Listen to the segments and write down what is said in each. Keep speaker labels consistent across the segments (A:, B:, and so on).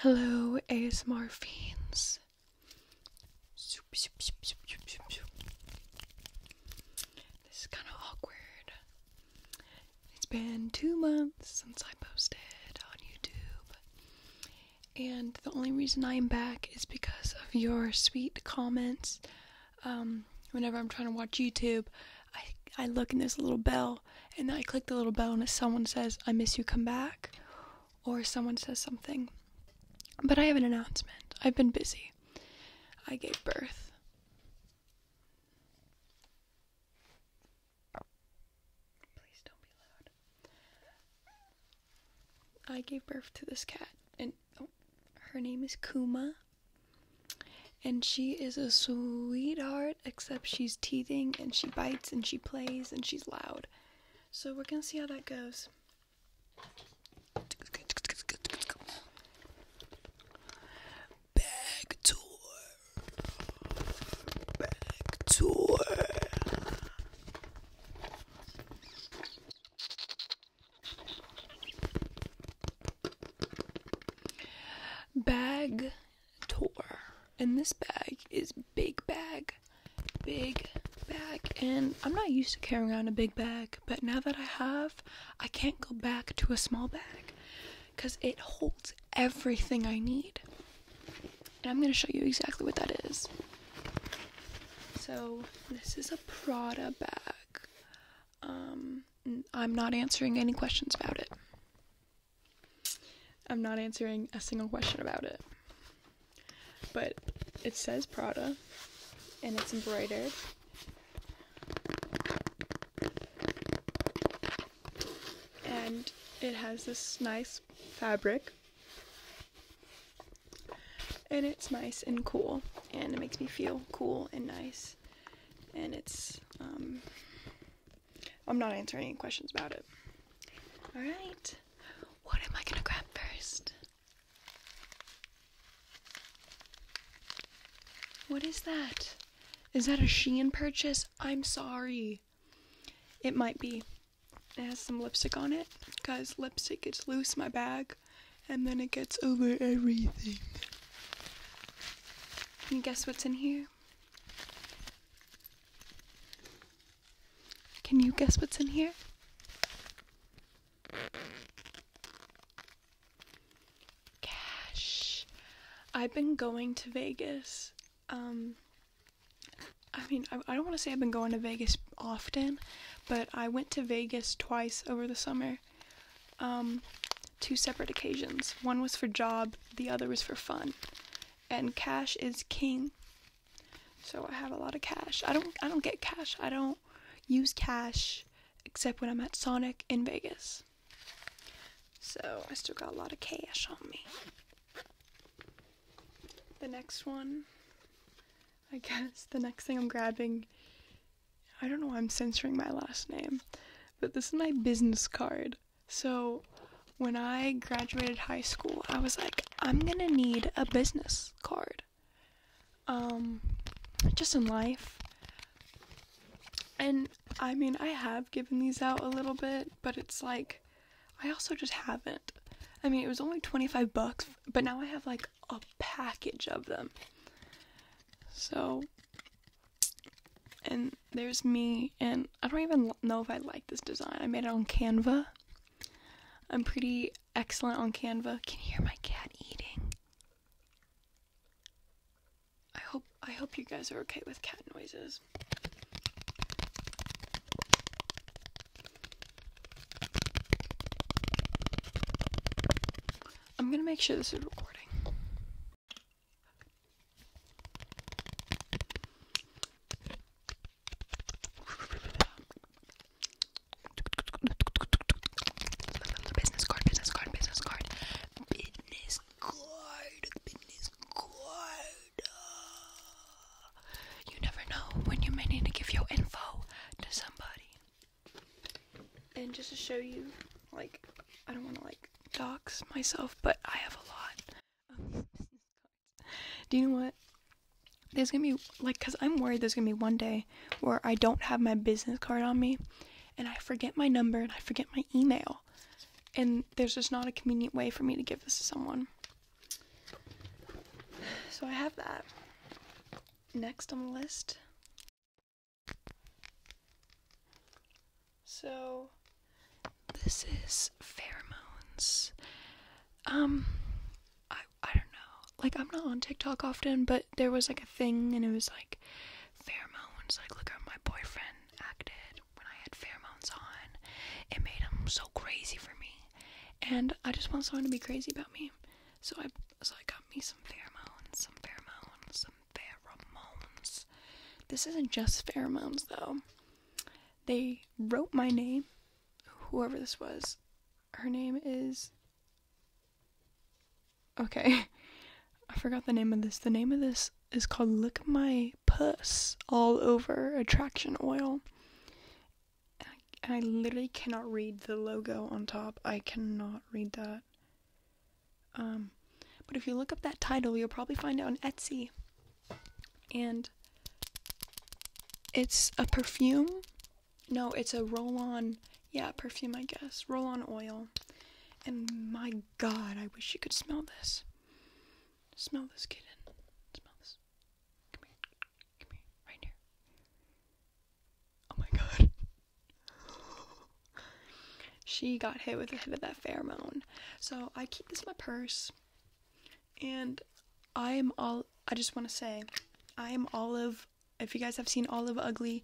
A: Hello, ASMR fiends. This is kind of awkward. It's been two months since I posted on YouTube, and the only reason I'm back is because of your sweet comments. Um, whenever I'm trying to watch YouTube, I, I look and there's a little bell, and I click the little bell, and if someone says, I miss you, come back, or someone says something. But I have an announcement. I've been busy. I gave birth. Please don't be loud. I gave birth to this cat, and oh, her name is Kuma and she is a sweetheart, except she's teething and she bites and she plays and she's loud. So we're gonna see how that goes. Back door. Back door. Bag tour. And this bag is big bag, big bag. And I'm not used to carrying around a big bag, but now that I have, I can't go back to a small bag because it holds everything I need. And I'm going to show you exactly what that is. So, this is a Prada bag. Um, I'm not answering any questions about it. I'm not answering a single question about it. But it says Prada and it's embroidered. And it has this nice fabric. And it's nice and cool. And it makes me feel cool and nice. And it's um, I'm not answering any questions about it. Alright. What am I gonna grab first? What is that? Is that a Shein purchase? I'm sorry. It might be. It has some lipstick on it. Cause lipstick gets loose in my bag and then it gets over everything. Can you guess what's in here? Can you guess what's in here? Cash. I've been going to Vegas. Um, I mean, I, I don't want to say I've been going to Vegas often, but I went to Vegas twice over the summer. Um, two separate occasions. One was for job, the other was for fun and cash is king. So I have a lot of cash. I don't I don't get cash. I don't use cash except when I'm at Sonic in Vegas. So I still got a lot of cash on me. The next one, I guess the next thing I'm grabbing, I don't know why I'm censoring my last name, but this is my business card. So when I graduated high school, I was like, I'm gonna need a business card. Um, just in life. And I mean, I have given these out a little bit, but it's like, I also just haven't. I mean, it was only 25 bucks, but now I have like a package of them. So and there's me and i don't even know if i like this design i made it on canva i'm pretty excellent on canva can you hear my cat eating i hope i hope you guys are okay with cat noises i'm gonna make sure this is recording Business card, business card, business card, business card, business card. You never know when you may need to give your info to somebody. And just to show you, like, I don't want to like docs myself, but I have a lot Do you know what? There's gonna be like, cause I'm worried there's gonna be one day where I don't have my business card on me, and I forget my number and I forget my email, and there's just not a convenient way for me to give this to someone. So I have that. Next on the list so this is pheromones. Um I I don't know. Like I'm not on TikTok often, but there was like a thing and it was like pheromones, like look how my boyfriend acted when I had pheromones on. It made him so crazy for me. And I just want someone to be crazy about me. So I so I got me some pheromones, some pheromones, some pheromones. This isn't just pheromones though they wrote my name, whoever this was. Her name is. Okay. I forgot the name of this. The name of this is called Lick My Puss All Over Attraction Oil. And I, literally cannot read the logo on top. I cannot read that. Um, but if you look up that title, you'll probably find it on Etsy and it's a perfume. No, it's a roll on, yeah, perfume, I guess. Roll on oil. And my god, I wish you could smell this. Smell this, kitten. Smell this. Come here. Come here. Right here. Oh my god. she got hit with a hit of that pheromone. So I keep this in my purse. And I am all I just want to say I am Olive. If you guys have seen Olive Ugly,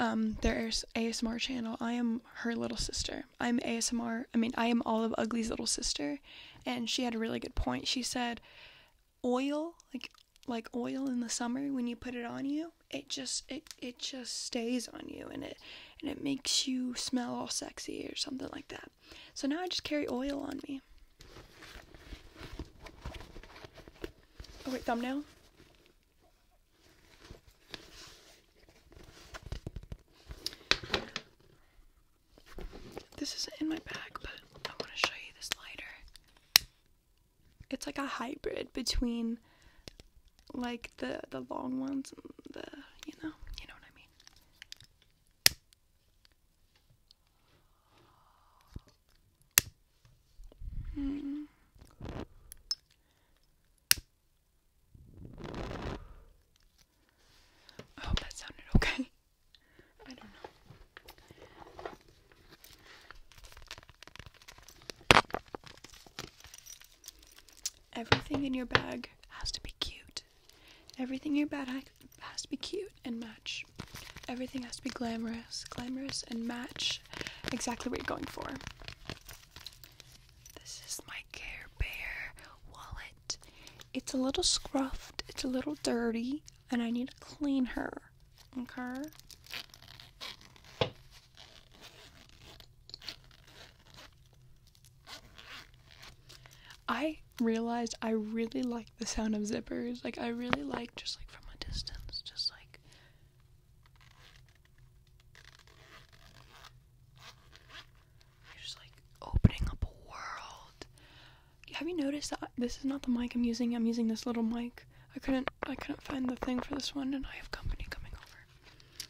A: um, their ASMR channel, I am her little sister. I'm ASMR. I mean, I am Olive Ugly's little sister, and she had a really good point. She said, oil like like oil in the summer when you put it on you, it just it it just stays on you and it and it makes you smell all sexy or something like that. So now I just carry oil on me. Oh, wait, thumbnail? This is in my bag, but I want to show you this lighter. It's like a hybrid between like the the long ones and the you know you know what I mean. Hmm. I oh, hope that sounded okay. I don't know. Everything in your bag has to be cute. Everything in your bag has to be cute and match. Everything has to be glamorous, glamorous and match exactly what you're going for. This is my Care Bear wallet. It's a little scruffed, it's a little dirty, and I need to clean her. Okay? I realized I really like the sound of zippers. Like I really like just like from a distance, just like just like opening up a world. Have you noticed that this is not the mic I'm using? I'm using this little mic. I couldn't I couldn't find the thing for this one and I have company coming over.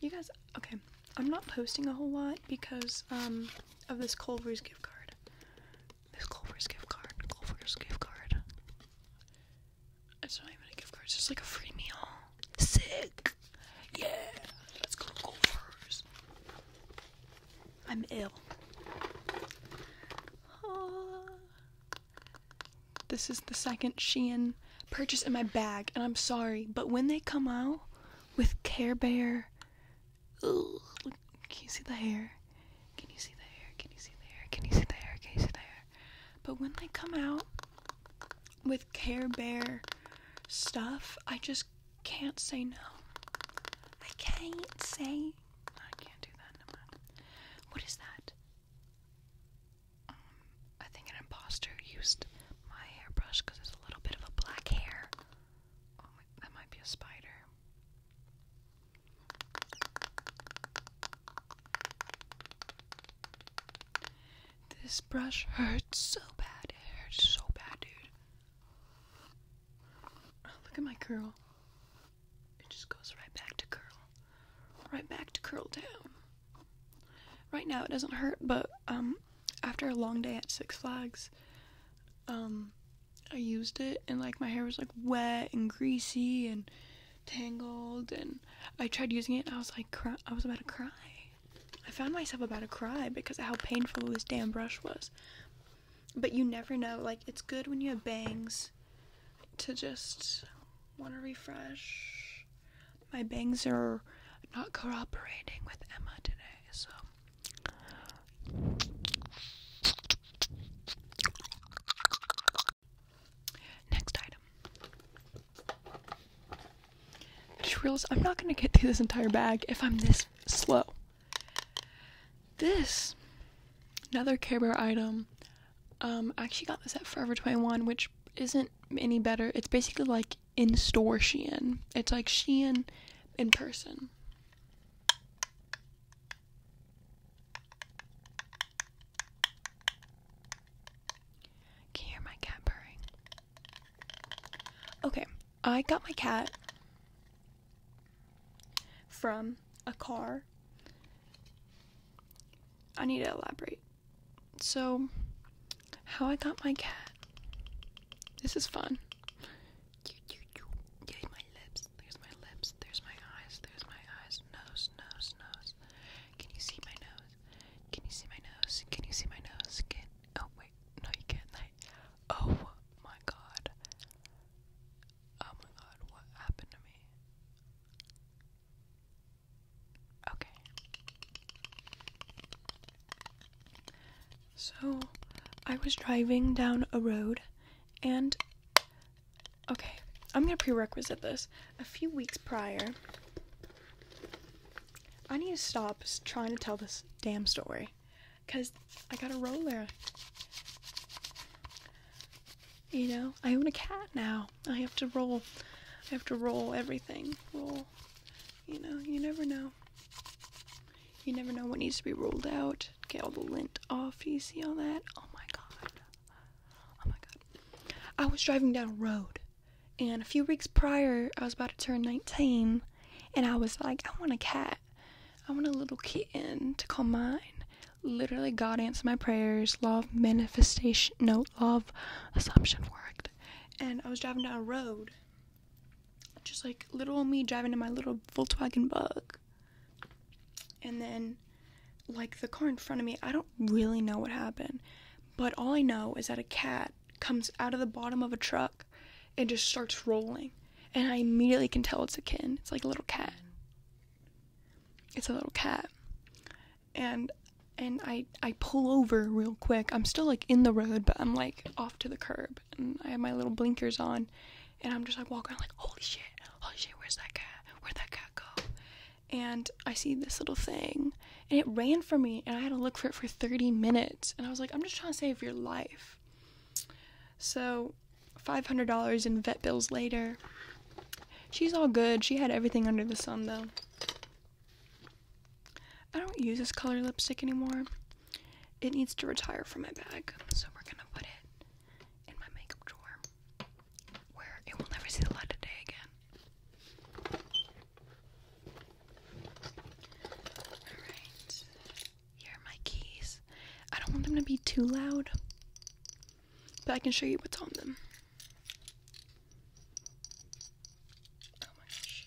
A: You guys okay, I'm not posting a whole lot because um, of this Culver's gift card. This Culver's gift card. Culver's gift card. It's not even a gift card. It's just like a free meal. Sick. Yeah. Let's go to Culver's. I'm ill. Ah. This is the second Shein purchase in my bag, and I'm sorry, but when they come out, with Care Bear. can you see the hair? Can you see the hair? Can you see the hair? Can you see the hair? Can you see the hair? But when they come out with Care Bear stuff, I just can't say no. I can't say. I can't do that. What is that? Um, I think an imposter used my hairbrush because it's a little bit of a black hair. Oh my, that might be a spider. This brush hurts so bad. It hurts so bad, dude. Oh, look at my curl. It just goes right back to curl. Right back to curl down. Right now it doesn't hurt, but um after a long day at Six Flags, um, I used it and like my hair was like wet and greasy and tangled and I tried using it I was like I was about to cry. I found myself about to cry because of how painful this damn brush was. But you never know. Like it's good when you have bangs to just want to refresh my bangs are not cooperating with Emma today, so next item. I just realized I'm not gonna get through this entire bag if I'm this slow. This another Care Bear item. Um, I actually got this at Forever 21, which isn't any better. It's basically like in store Shein. It's like Shein in person. Can you hear my cat purring? Okay, I got my cat from a car. I need to elaborate. So, how I got my cat. This is fun. Yay, my lips. There's my lips. There's my eyes. There's my eyes. Nose, nose, nose. Can you see my nose? Can you see my nose? Can you see my nose? Can oh wait, no you can't. Oh my god. Oh my god, what happened to me? Okay. So, I was driving down a road and. Okay, I'm gonna prerequisite this. A few weeks prior, I need to stop trying to tell this damn story. Because I got a roller. You know, I own a cat now. I have to roll. I have to roll everything. Roll. You know, you never know. You never know what needs to be rolled out. Get all the lint off. Do You see all that? Oh my god. Oh my god. I was driving down a road, and a few weeks prior, I was about to turn 19, and I was like, I want a cat. I want a little kitten to call mine. Literally, God answered my prayers. Law of manifestation, no, law of assumption worked. And I was driving down a road, just like little me driving in my little Volkswagen bug. And then, like the car in front of me, I don't really know what happened, but all I know is that a cat comes out of the bottom of a truck and just starts rolling. And I immediately can tell it's a kitten. It's like a little cat. It's a little cat. And and I I pull over real quick. I'm still like in the road, but I'm like off to the curb and I have my little blinkers on and I'm just like walking around like holy shit, holy shit, where's that cat? Where'd that cat go? And I see this little thing and it ran from me and I had to look for it for 30 minutes and I was like, I'm just trying to save your life. So $500 in vet bills later. She's all good. She had everything under the sun though. I don't use this color lipstick anymore. It needs to retire from my bag, so we're gonna put it in my makeup drawer where it will never see the light of day again. Alright, here are my keys. I don't want them to be too loud, but I can show you what's on them. Oh my gosh.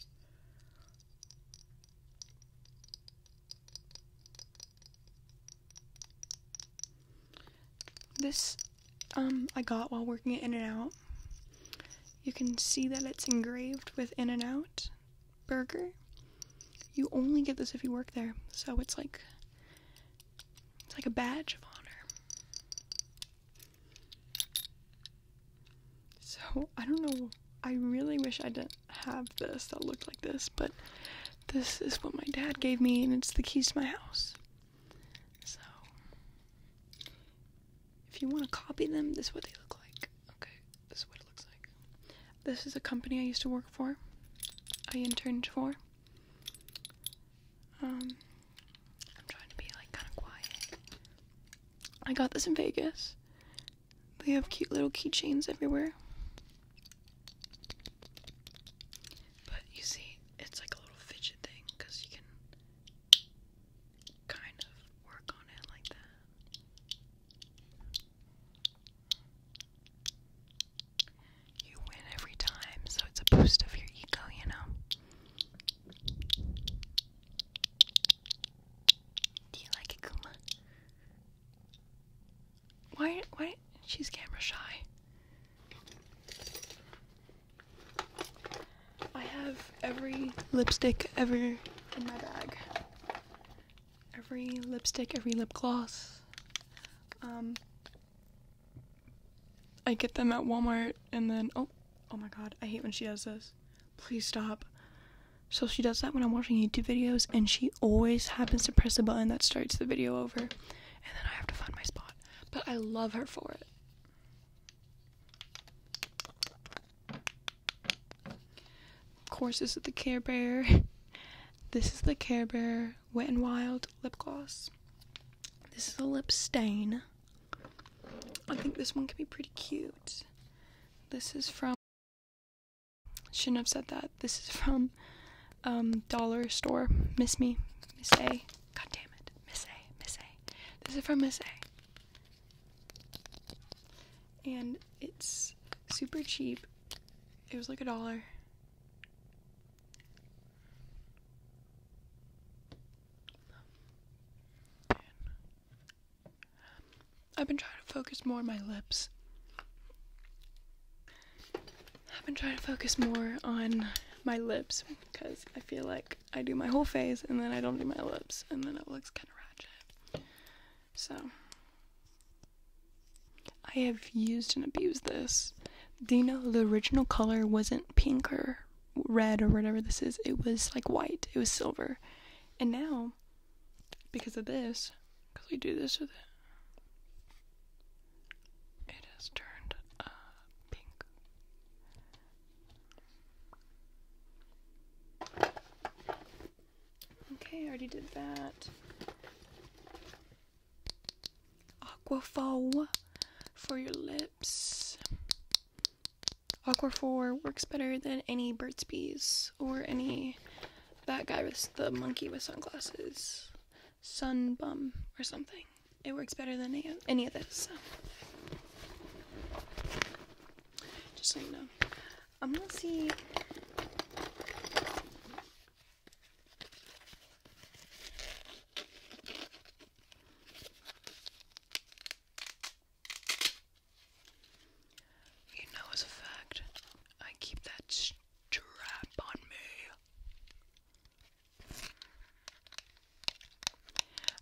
A: This um, I got while working at In-N-Out. You can see that it's engraved with In-N-Out Burger. You only get this if you work there, so it's like it's like a badge of honor. So I don't know. I really wish I didn't have this that looked like this, but this is what my dad gave me, and it's the keys to my house. So if you want to copy them, this is what they look like. Okay, this is what it looks like. This is a company I used to work for. I interned for. Um, I'm trying to be like kind of quiet. I got this in Vegas. They have cute little keychains everywhere. But you see, it's like a little fidget thing because you can kind of work on it like that. You win every time, so it's a boost of your ego, you know. Do you like it, Kuma? Why? Why? She's camera shy. I have every lipstick ever in my bag. Every lipstick, every lip gloss. Um, I get them at Walmart and then oh, oh my god, I hate when she does this please stop. So she does that when I'm watching YouTube videos, and she always happens to press the button that starts the video over, and then I have to find my spot. But I love her for it. Of course, this is the Care Bear. This is the Care Bear Wet and Wild lip gloss. This is a lip stain. I think this one could be pretty cute. This is from Shouldn't have said that. This is from um, Dollar Store. Miss me. Miss A. God damn it. Miss A. Miss A. This is from Miss A. And it's super cheap. It was like a dollar. I've been trying to focus more on my lips. I've been trying to focus more on my lips because I feel like I do my whole face and then I don't do my lips and then it looks kind of ratchet. So I have used and abused this. Do you know the original color wasn't pink or red or whatever this is? It was like white. It was silver. And now because of this, because we do this with it, it has turned uh, pink. Okay, I already did that. Aquafol for your lips. Aquaphor works better than any Burt's Bees or any that guy with the monkey with sunglasses, Sun Bum or something. It works better than any, any of this. So. Just so you know, I'm gonna see. You know, as a fact, I keep that strap on me.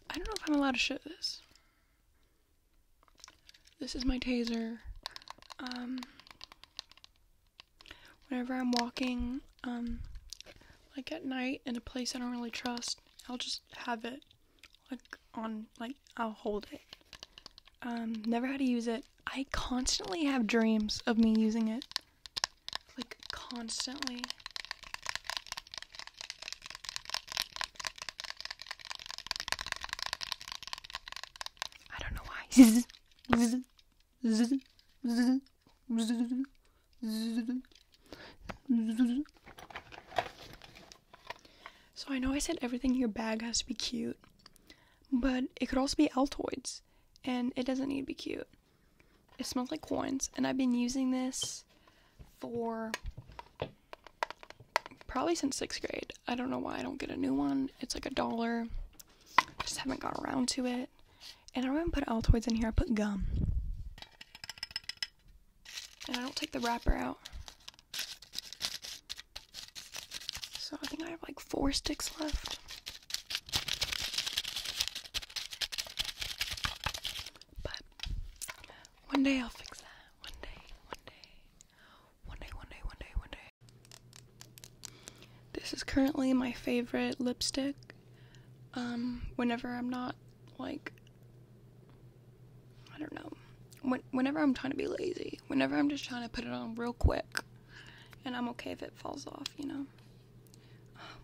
A: I don't know if I'm allowed to show this. This is my taser. Um, whenever I'm walking, um, like at night in a place I don't really trust, I'll just have it like on like I'll hold it. Um, never had to use it. I constantly have dreams of me using it. Like constantly. I don't know why. So I know I said everything in your bag has to be cute, but it could also be Altoids, and it doesn't need to be cute. It smells like coins, and I've been using this for probably since sixth grade. I don't know why I don't get a new one. It's like a dollar. I just haven't got around to it. And I don't put Altoids in here, I put gum. And I don't take the wrapper out. So I think I have like four sticks left. But one day I'll fix that. One day, one day. One day, one day, one day, one day. This is currently my favorite lipstick. Um, whenever I'm not like I don't know. whenever I'm trying to be lazy, whenever I'm just trying to put it on real quick, and I'm okay if it falls off, you know?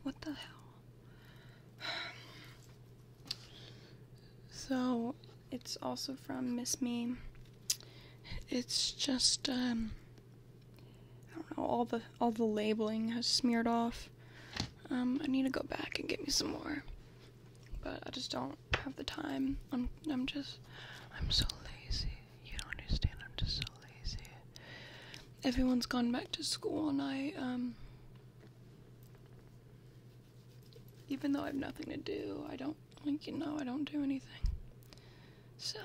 A: What the hell? So, it's also from Miss Me. It's just, um, I don't know, all the, all the labeling has smeared off. Um, I need to go back and get me some more but I just don't have the time. I'm I'm just I'm so lazy. You don't understand. I'm just so lazy. Everyone's gone back to school, and I um. Even though I have nothing to do, I don't like you know I don't do anything. So.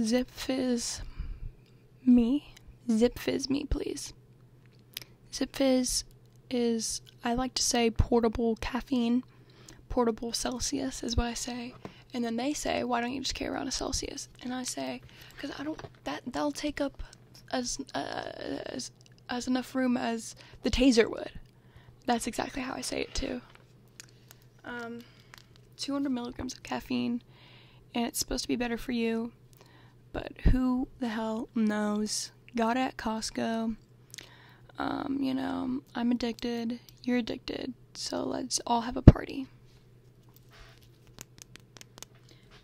A: Zip fizz me. Zip fizz me, please. Zip fizz is, I like to say, portable caffeine. Portable Celsius is what I say. And then they say, why don't you just carry around a Celsius? And I say, because I don't, that, that'll take up as, uh, as, as enough room as the taser would. That's exactly how I say it too. Um, 200 milligrams of caffeine, and it's supposed to be better for you, but who the hell knows? Got it at Costco. Um, you know, I'm addicted, you're addicted, so let's all have a party.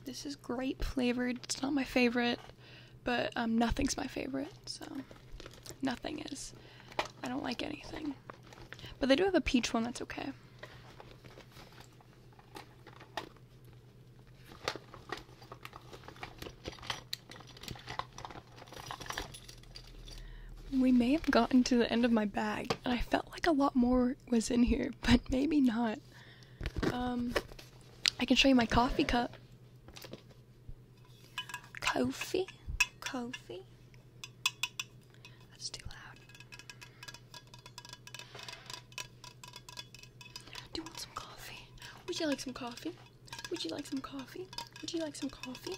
A: This is grape flavored. It's not my favorite, but um, nothing's my favorite, so nothing is. I don't like anything. But they do have a peach one that's okay. We may have gotten to the end of my bag, and I felt like a lot more was in here, but maybe not. Um, I can show you my coffee cup. Coffee? Coffee? That's too loud. Do you want some coffee? Would you like some coffee? Would you like some coffee? Would you like some coffee?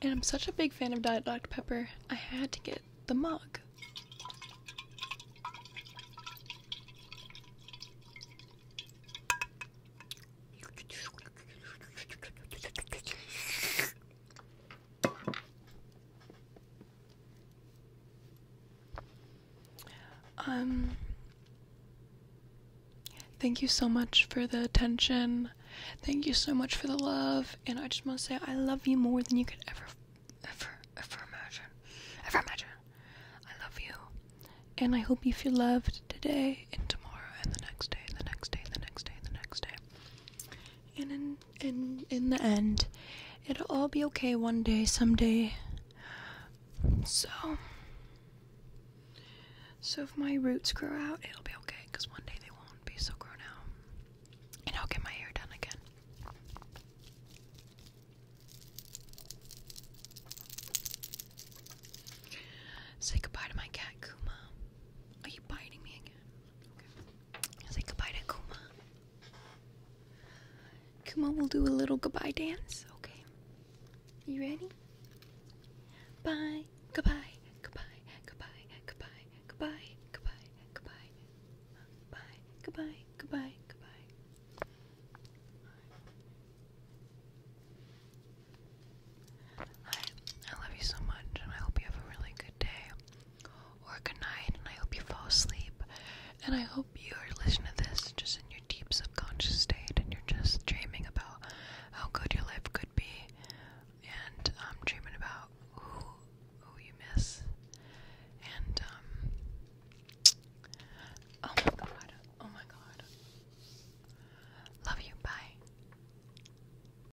A: And I'm such a big fan of Diet Dr. Pepper, I had to get the mug. Um, thank you so much for the attention. Thank you so much for the love. And I just want to say I love you more than you could ever, ever, ever imagine. Ever imagine. I love you. And I hope you feel loved today and tomorrow and the next day and the next day and the next day and the next day and in in in the end, it'll all be okay one day, someday. So, so if my roots grow out, it'll be okay because one day they won't be so grown out, and I'll get my hair done again. Say goodbye to my cat Kuma. Are you biting me again? Okay. Say goodbye to Kuma. Kuma will do a little goodbye dance. Okay. You ready? Bye. Goodbye. Goodbye. Goodbye. Goodbye. Goodbye. Goodbye. Goodbye. Bye. Goodbye. Goodbye. Goodbye. Hi. I love you so much, and I hope you have a really day or good night, and I hope you fall asleep. And I hope you are listening to this just in your deep subconscious state, and you're just dreaming about how good your life could be, and um, dreaming about who who you miss, and um, oh my god, oh my god, love you, bye.